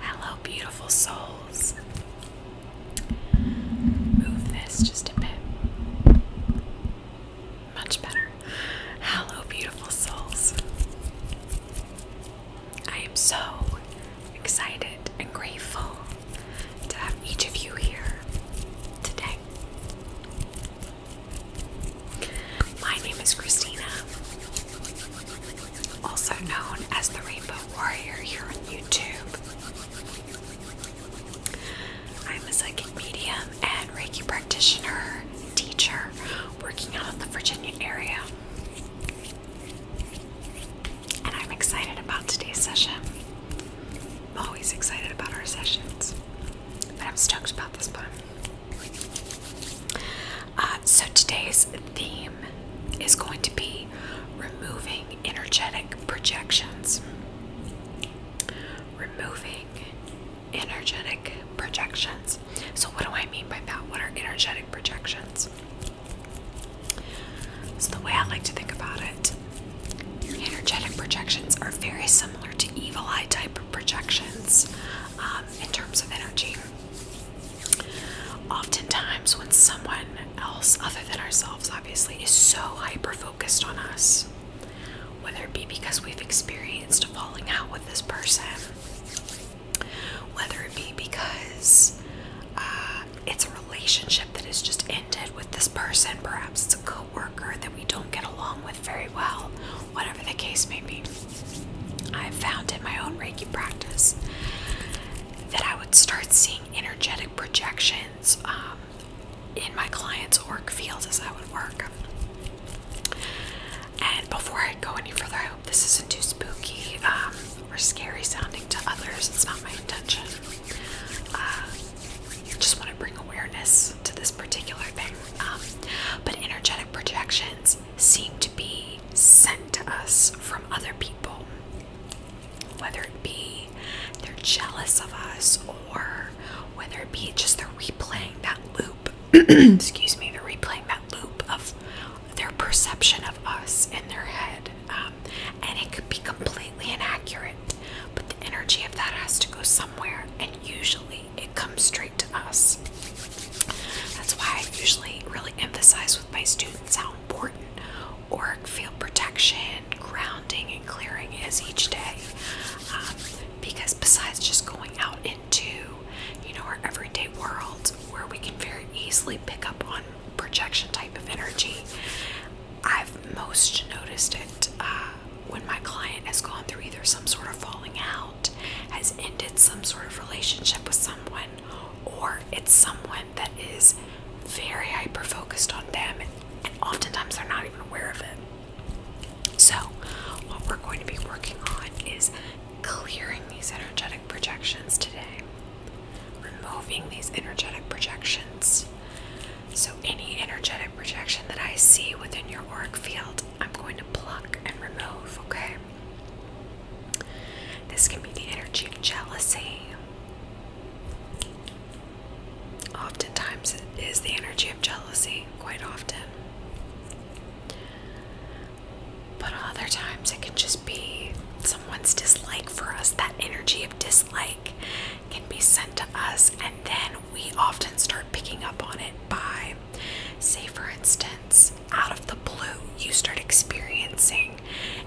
Hello, beautiful souls. Move this just a bit. Much better. Hello, beautiful souls. I am so excited and grateful to have each of you here today. My name is Christina also known as the Rainbow Warrior here on YouTube. I'm a psychic medium and Reiki practitioner, teacher, working out of the Virginia area. And I'm excited about today's session. I'm always excited about our sessions, but I'm stoked about this one. Uh, so today's theme is going to be removing energetic projections. Removing energetic projections. So, what do I mean by that? What are energetic projections? So, the way I like to think about it, energetic projections are very similar to evil eye type projections um, in terms of energy. Oftentimes, when someone else, other than ourselves, obviously, is so hyper focused on us, whether it be because we've experienced a falling out with this person, whether it be because uh, it's a relationship that has just ended with this person, perhaps it's a co worker that we don't get along with very well, whatever the case may be. I found in my own Reiki practice that I would start seeing energetic projections um, in my clients' work fields as I would work. And before I go any further, I hope this isn't too spooky um, or scary sounding to others. It's not my intention. Uh, just want to bring awareness to this particular thing. Um, but energetic projections seem to be sent to us from other people, whether it be they're jealous of us or whether it be just they're replaying that loop. excuse me, they're replaying that loop of their perception of us in their head, um, and it could be completely inaccurate. But the energy of that has to go somewhere, and usually it comes straight to us. That's why I usually really emphasize with my students how important auric field protection, grounding, and clearing is each day. Um, because besides just going out into, you know, our everyday world where we can very easily pick up on projection type of energy, I've most noticed it uh, when my client has gone through either some sort of falling out, has ended some sort of relationship with someone, or it's someone that is very hyper focused on them and oftentimes they're not even aware of it. So, what we're going to be working on is clearing these energetic projections today, removing these energetic projections. So, any energetic projection that I see within your auric field, I'm going to pluck and remove, okay? This can be the energy of jealousy. Oftentimes, it is the energy of jealousy, quite often. But other times, it can just be someone's dislike for us. That energy of dislike can be sent to us, and then we often start picking up on it by Say, for instance, out of the blue, you start experiencing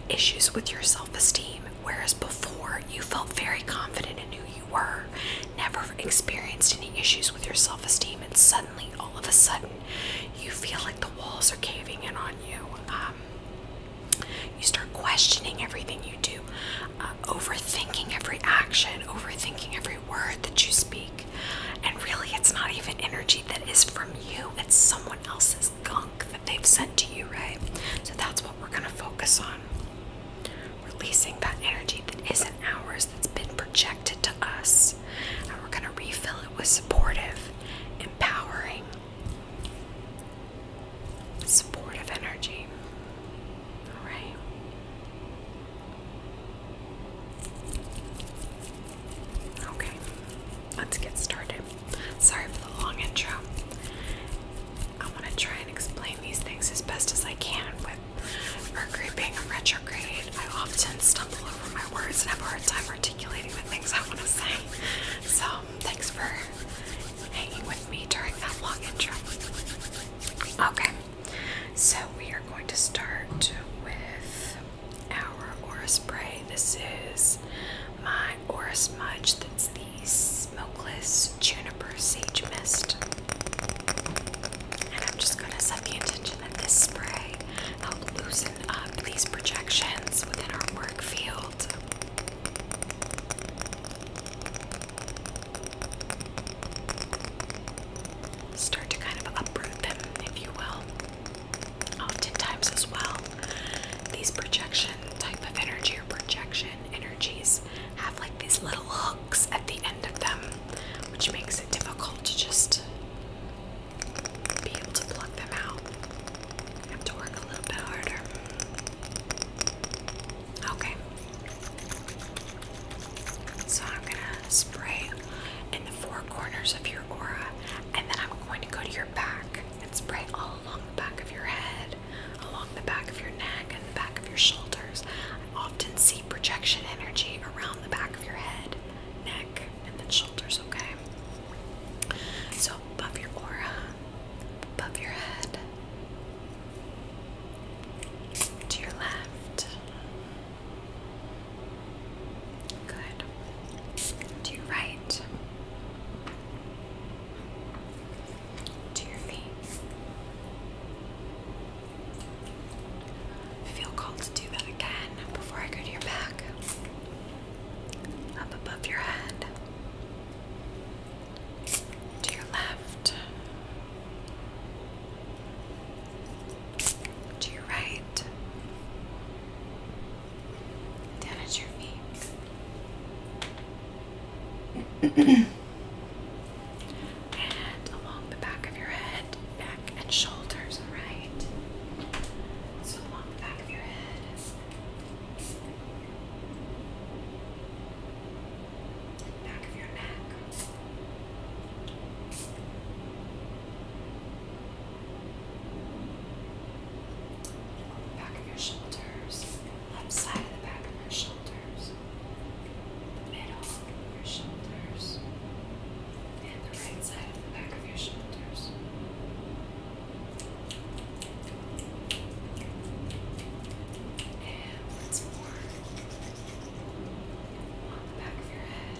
issues with your self esteem, whereas before you felt very confident and knew you were, never experienced any issues with your self esteem, and suddenly, all of a sudden, you feel like the walls are caving in on you. Um, you start questioning everything you do, uh, overthinking every action, overthinking every word that you speak. And really, it's not even energy that is from you, it's someone else's gunk that they've sent to you, right? So that's what we're going to focus on. Releasing that energy that isn't ours, that's been projected to us. And we're going to refill it with supportive, empowering, supportive energy. All right. Okay, let's get started. Sorry for the long intro. I want to try and explain these things as best as I can. With Mercury being a retrograde, I often stumble over my words and have a hard time articulating the things I want to say. So, thanks for hanging with me during that long intro. Okay, so we are going to start with hour aura spray. This is my aura smudge. That's the smokeless juniper sage mist. And I'm just gonna set the intention that this spray will loosen up these projections within our work field. Start to kind of uproot them, if you will oftentimes as well these projection type of energy or projection energies have like these little hooks at the end of them which makes it difficult to just be able to pluck them out have to work a little bit harder okay so I'm gonna spray in the four corners of your aura, and then I'm going to go to your back and spray all along the back of your head, along the back of your neck, and the back of your shoulders. I often see projection energy around the back of your head, neck, and then shoulders, okay? So above your aura, above your head, to your left, Good. To your right. To your feet. feel called to do that again before I go to your back. Up above your head. To your left to your right, down at your feet, and along the back of your head, back and shoulders, right? So along the back of your head. Back of your neck, Back of your shoulders, left side of the back of your shoulders, the middle of your shoulders, and the right side of the back of your shoulders. And once more on the back of your head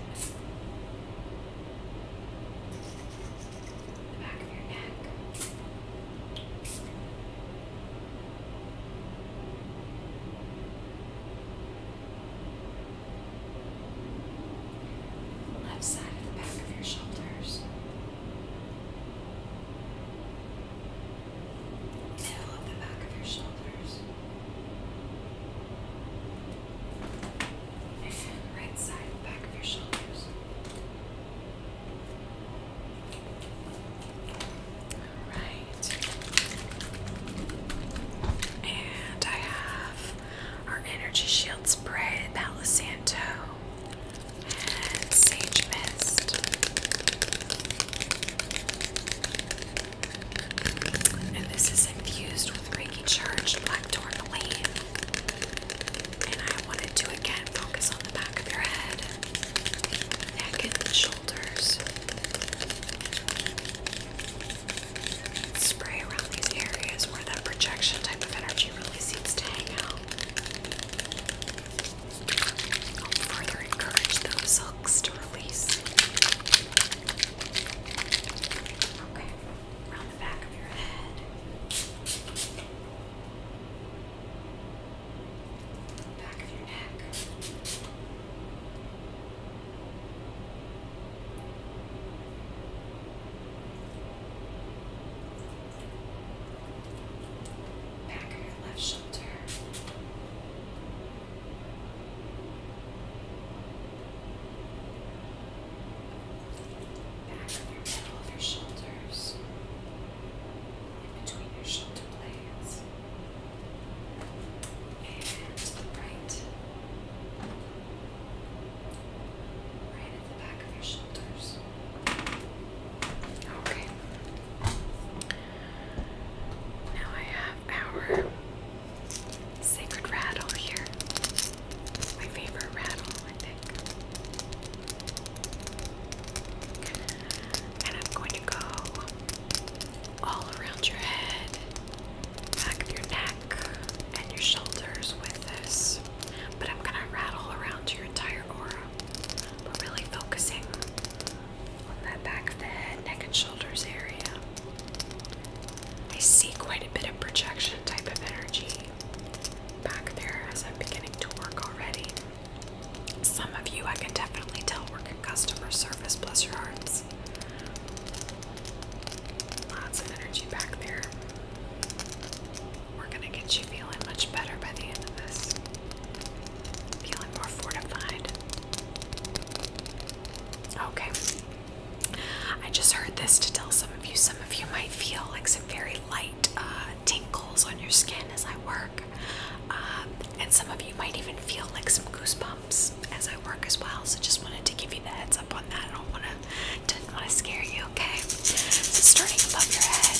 left side of the back of your shoulders. Tail of the back of your shoulders right side and back of your shoulders. Alright. And I have our energy shield spray, Palo Santo, and Sage Mist. And this is infused with Reiki charged black tourmaline. And I wanted to again focus on the back of your head, neck, and shoulders. Spray around these areas where that projection type of energy really seems to hang out. I'll further encourage those hooks to release. Okay, around the back of your head. Back of your neck. Back of your left shoulder. Back Back of your middle of your shoulders, in between your shoulder blades, and the right, right at the back of your shoulders. Okay. Now I have our sacred rattle here. my favorite rattle, I think. And I'm going to go all around your head, back of your neck, and your shoulders with this. But I'm going to rattle around your entire aura, but really focusing on that back of the head, neck, and shoulders area. I see quite a bit of projection type of energy back there as I'm beginning to work already. Some of you I can definitely tell work in customer service, bless your hearts. Lots of energy back there. We're gonna get you feeling much better by the end of this. Feeling more fortified. Okay, I just heard this to tell some of you. Some of you might feel like some very light uh, tinkles on your skin as I work, um, and some of you might even feel like some goosebumps as I work as well. So just wanted to give you the heads up on that. I don't want to didn't want to scare you. Okay, so starting above your head.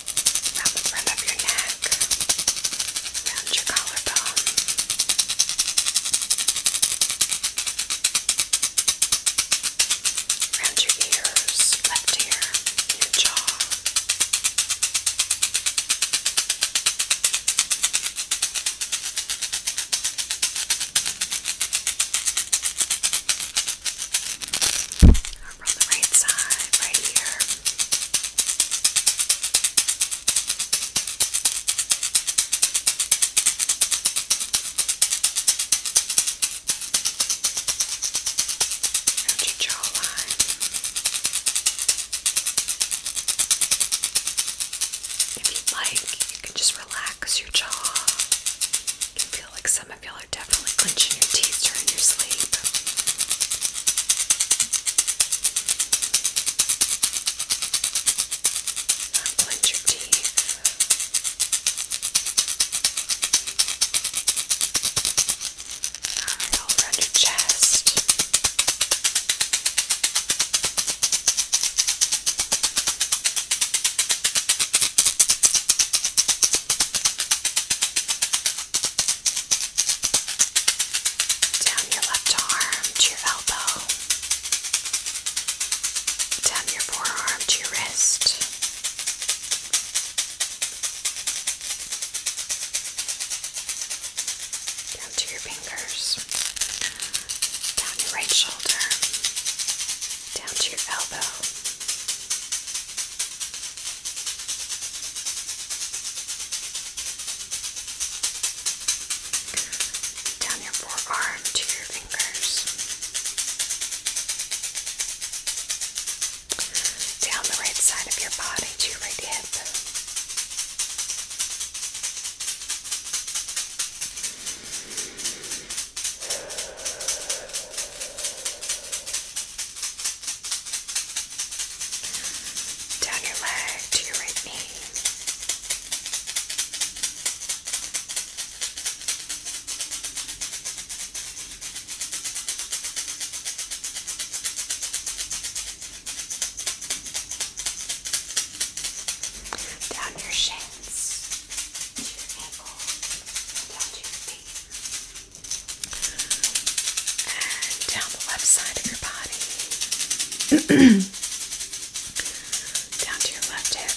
around the front of your neck, around your collarbone. Around your ears, left ear, your jaw from the right side, right here. Around your jawline. If you'd like, you can just relax your jaw. You can feel like some some of y'all are definitely clenching your teeth during your sleep. Clench your teeth. Alright, all around your chest. All down your left arm to your elbow, down your forearm to your wrist. Down to your fingers, down your right shoulder, down to your elbow, down your forearm to your fingers. Down the right side of your body to your right hip. Down down your leg to your right Down your shins to your ankle, down to your feet and down the left side of your body, down to your left hip.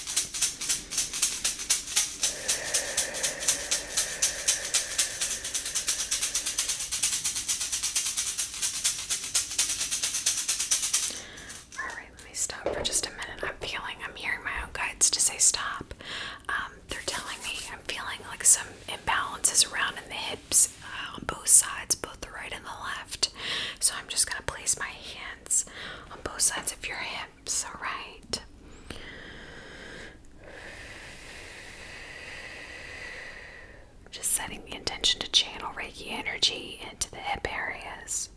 All right, let me stop for just a minute. I'm feeling I'm hearing my own guides to say stop. Um, they're telling me I'm feeling like some imbalances around in the hips uh, on both sides, both the right and the left. So I'm just going to place my hands on both sides of your hips, alright? Just setting the intention to channel Reiki energy into the hip areas.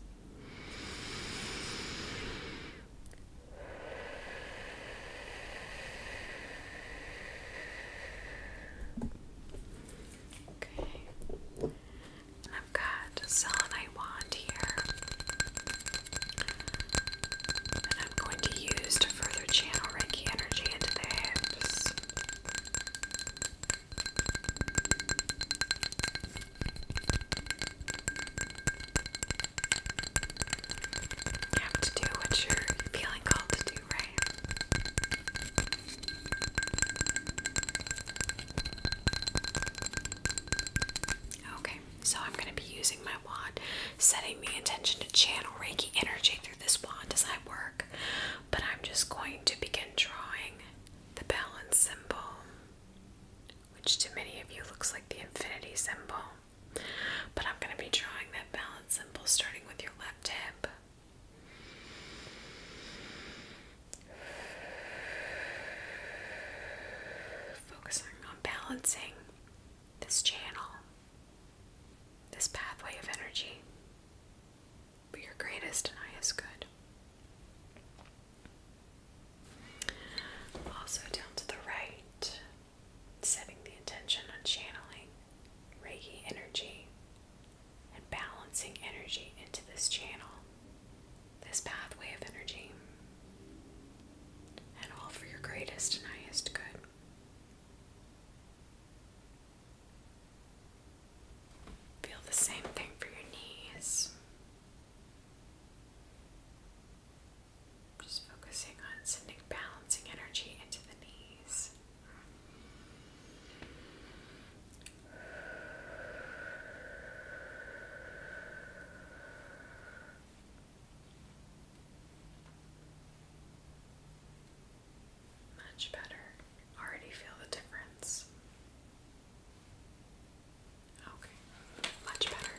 Okay. I've got a selenite wand here. And I'm going to use to further channel Reiki energy into the hips. You have to do what you're feeling called to do, right? Okay, so I'm going to be using my wand, setting the intention to channel Reiki energy through this wand as I work, but I'm just going to begin drawing the balance symbol which to many of you looks like the infinity symbol. But I'm going to be drawing that balance symbol starting with your left hip. Focusing on balancing this channel, this pathway of energy, for your greatest and highest good. Also, down to the right, setting the intention on channeling Reiki energy and balancing energy into this channel, this pathway of energy, and all for your greatest and highest good. Feel the same thing for your knees. Just focusing on sending balancing energy into the knees. Much better. Already feel the difference. Okay, much better.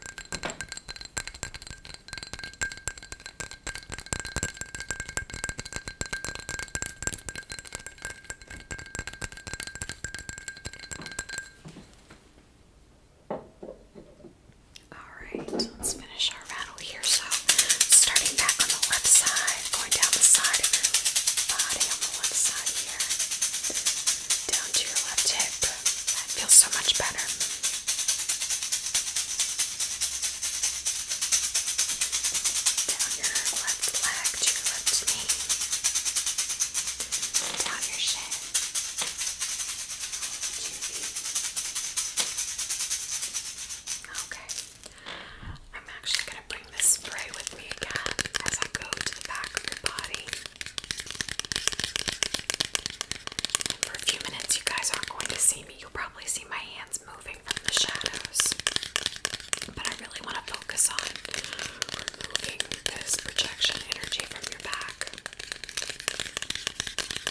Alright, let's finish our rattle here. So, starting back on the left side, going down the side of your body on the left side here down to your left hip. That feels so much better. Down your left leg to your left knee. Down your shin. Okay. I'm actually going to bring this spray with me again as I go to the back of your body for a few minutes, you guys aren't going to see me. You'll probably see my hands moving from the shadows. But I really want to focus on removing this projection energy from your back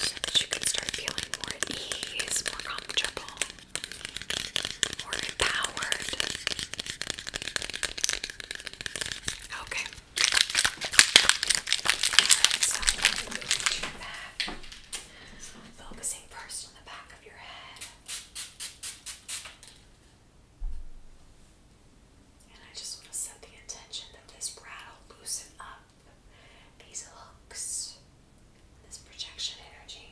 so that you can start feeling more ease, more comfortable, more empowered. Okay, Alright, so I'm going to move to your back. Focusing first on the back of your head. And I just want to set the intention that this rattle loosen up these hooks, this projection energy.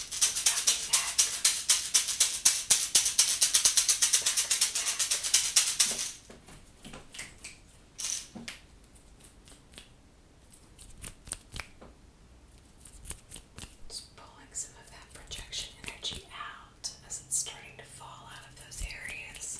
back your neck. Back of your neck. Just pulling some of that projection energy out as it's starting to fall out of those areas.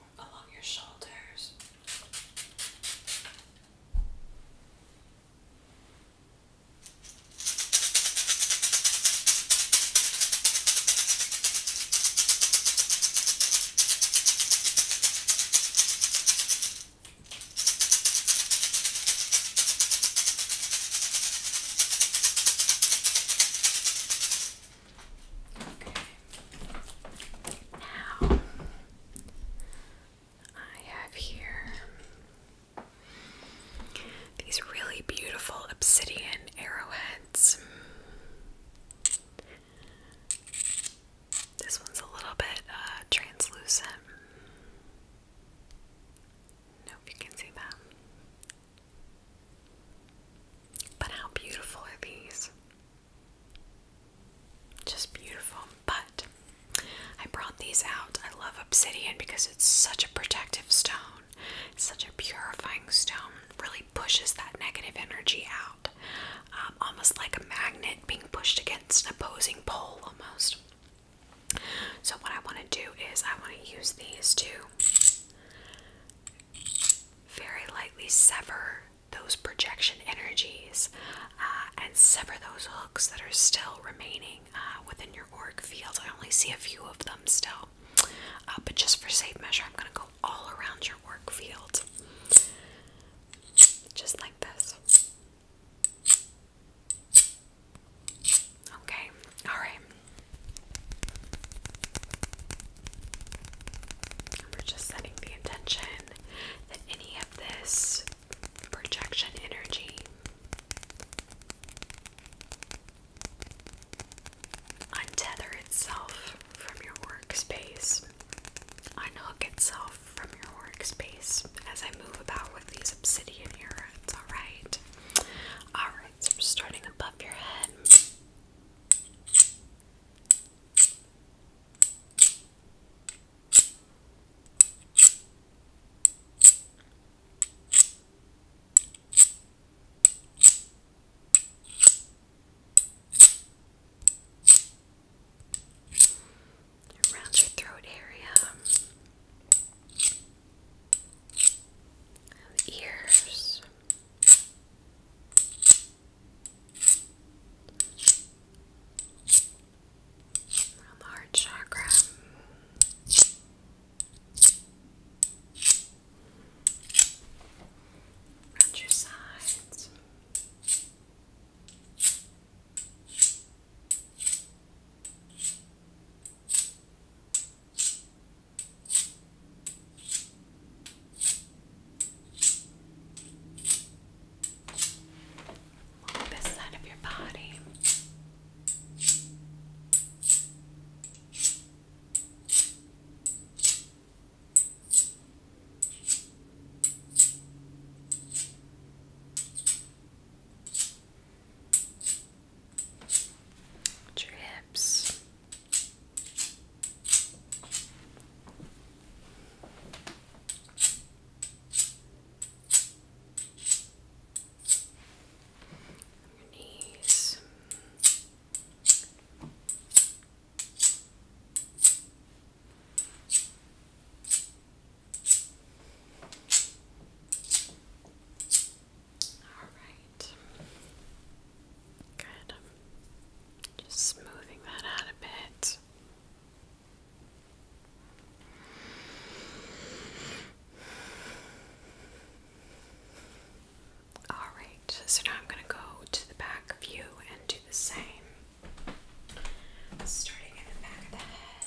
along your shoulders. Now I have here these really beautiful obsidian arrowheads. This one's a little bit uh, translucent. Nope, you can see that. But how beautiful are these? Just beautiful. But I brought these out. I love obsidian because it's such a protective stone, such a purifying stone, really pushes that negative energy out. Um, almost like a magnet being pushed against an opposing pole, almost. So, what I want to do is, I want to use these to very lightly sever those projection energies uh, and sever those hooks that are still remaining uh, within your auric field. I only see a few of them still, uh, but just for safe measure, I'm going to go all around your work field, just like this. Okay, all right. We're just setting the intention that any of this projection energy untether itself from your workspace, unhook itself from your workspace as I move about with these obsidian earrings, alright? Alright, so we're starting above your head. Around your throat area, ears, Around chakra. Around your sides. On side of your body. Your hips, your knees. All right. Good. Just smoothing that out a bit. Alright, so now I'm going to go to the back of you and do the same. Starting at the back of the head.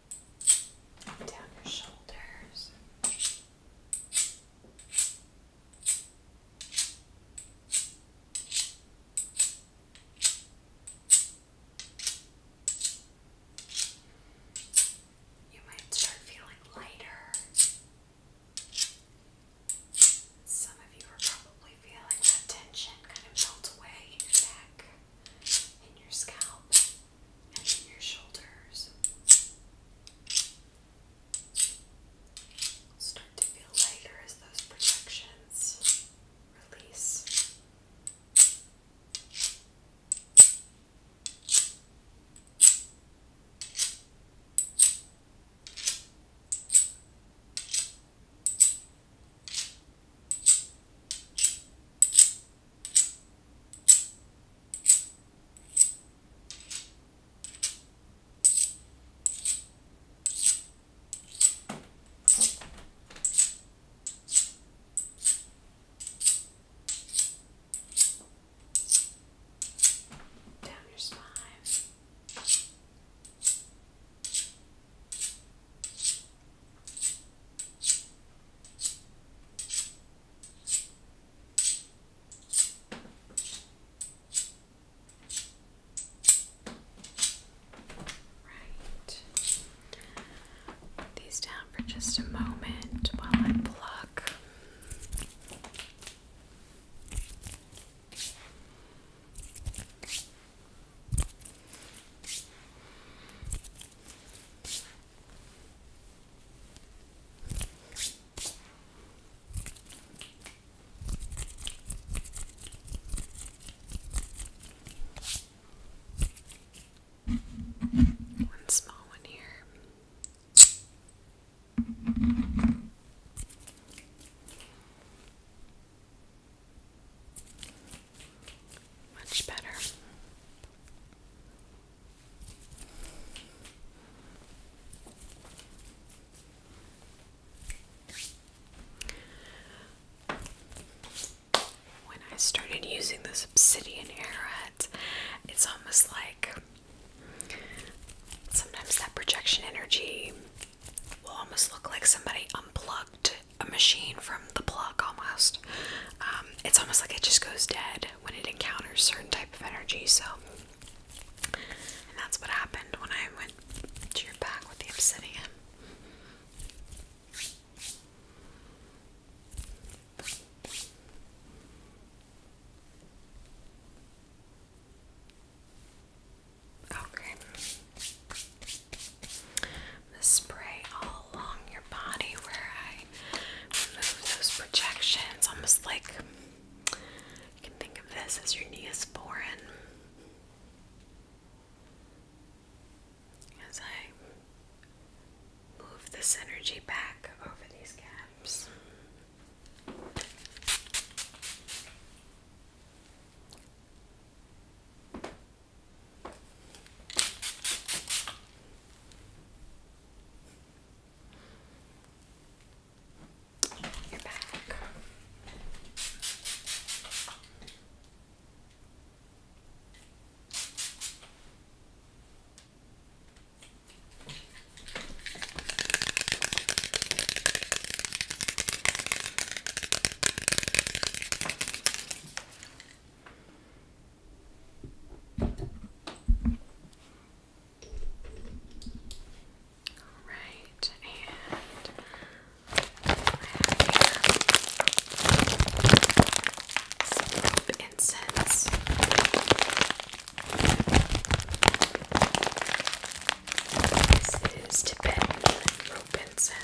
down your shoulders. You might start feeling lighter. Some of you are probably feeling that tension kind of melt away in your neck, in your scalp and your shoulders start to feel lighter as those projections release. Down your spine. Good. Right. these down for just a moment while I pluck. One small one here. Much better. When I started using this obsidian arrowhead, it's almost like sometimes that projection energy will almost look like somebody unplugged a machine from the block almost. Um, it's almost like it just goes dead when it encounters certain type of energy. So, that's what happened when I went to your back with the obsidian. Okay gonna spray all along your body where I remove those projections, almost like you can think of this as your neosporin. As I move this energy back over these gaps. You're back. All right, and I have some incense. This is Tibetan incense.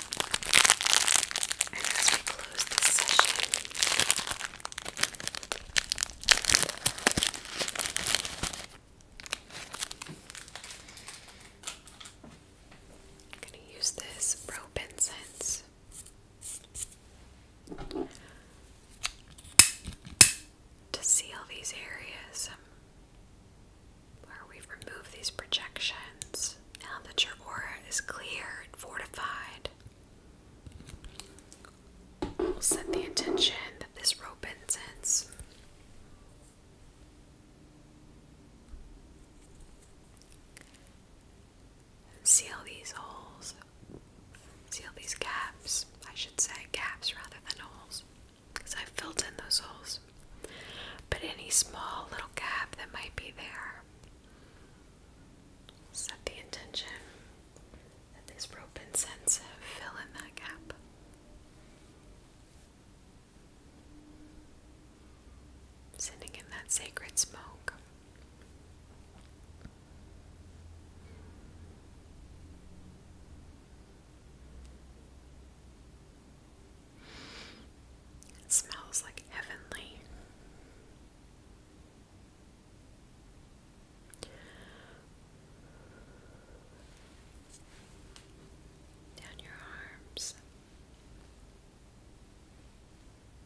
I'm going to use this rope incense. To seal these areas um, where we've removed these projections, now that your aura is clear and fortified, We'll set the intention that this rope ends ends. Seal these holes. Seal these gaps. I should say gaps rather than holes. Because I filled in those holes. But any small little gap that might be there, Set the intention that this rope and sense fill in that gap. Sending in that sacred smoke. It smells like heavenly down your arms,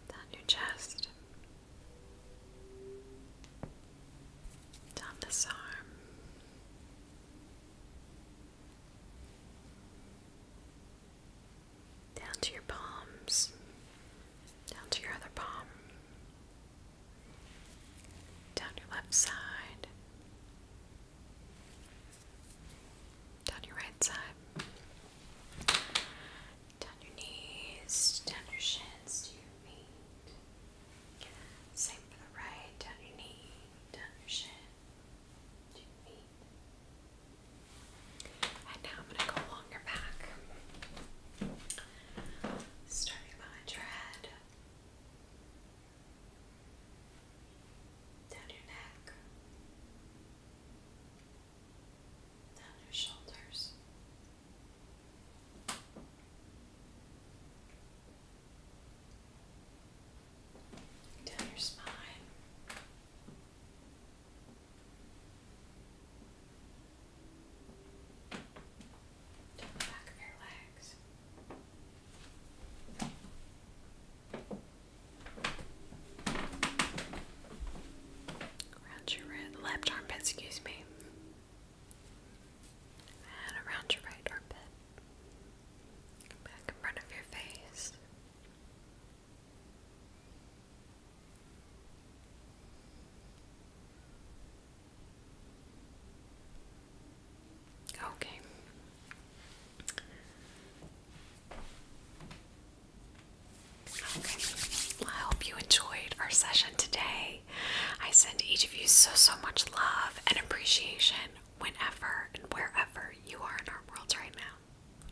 down your chest, down this arm down to your palms, down to your other palm, down your left side, down your right side, down your knees, down your shins, to your feet. Same for the right, down your knee, down your shin, to your feet. And now I'm going to go longer back, starting behind your head, down your neck, down your shoulders. Down your spine, don't back your legs. Around your right, left armpit, excuse me. And around your right armpit. Back in front of your face. Okay. Okay. I hope you enjoyed our session today. I send each of you so, so much love and appreciation whenever and wherever you are in our world right now.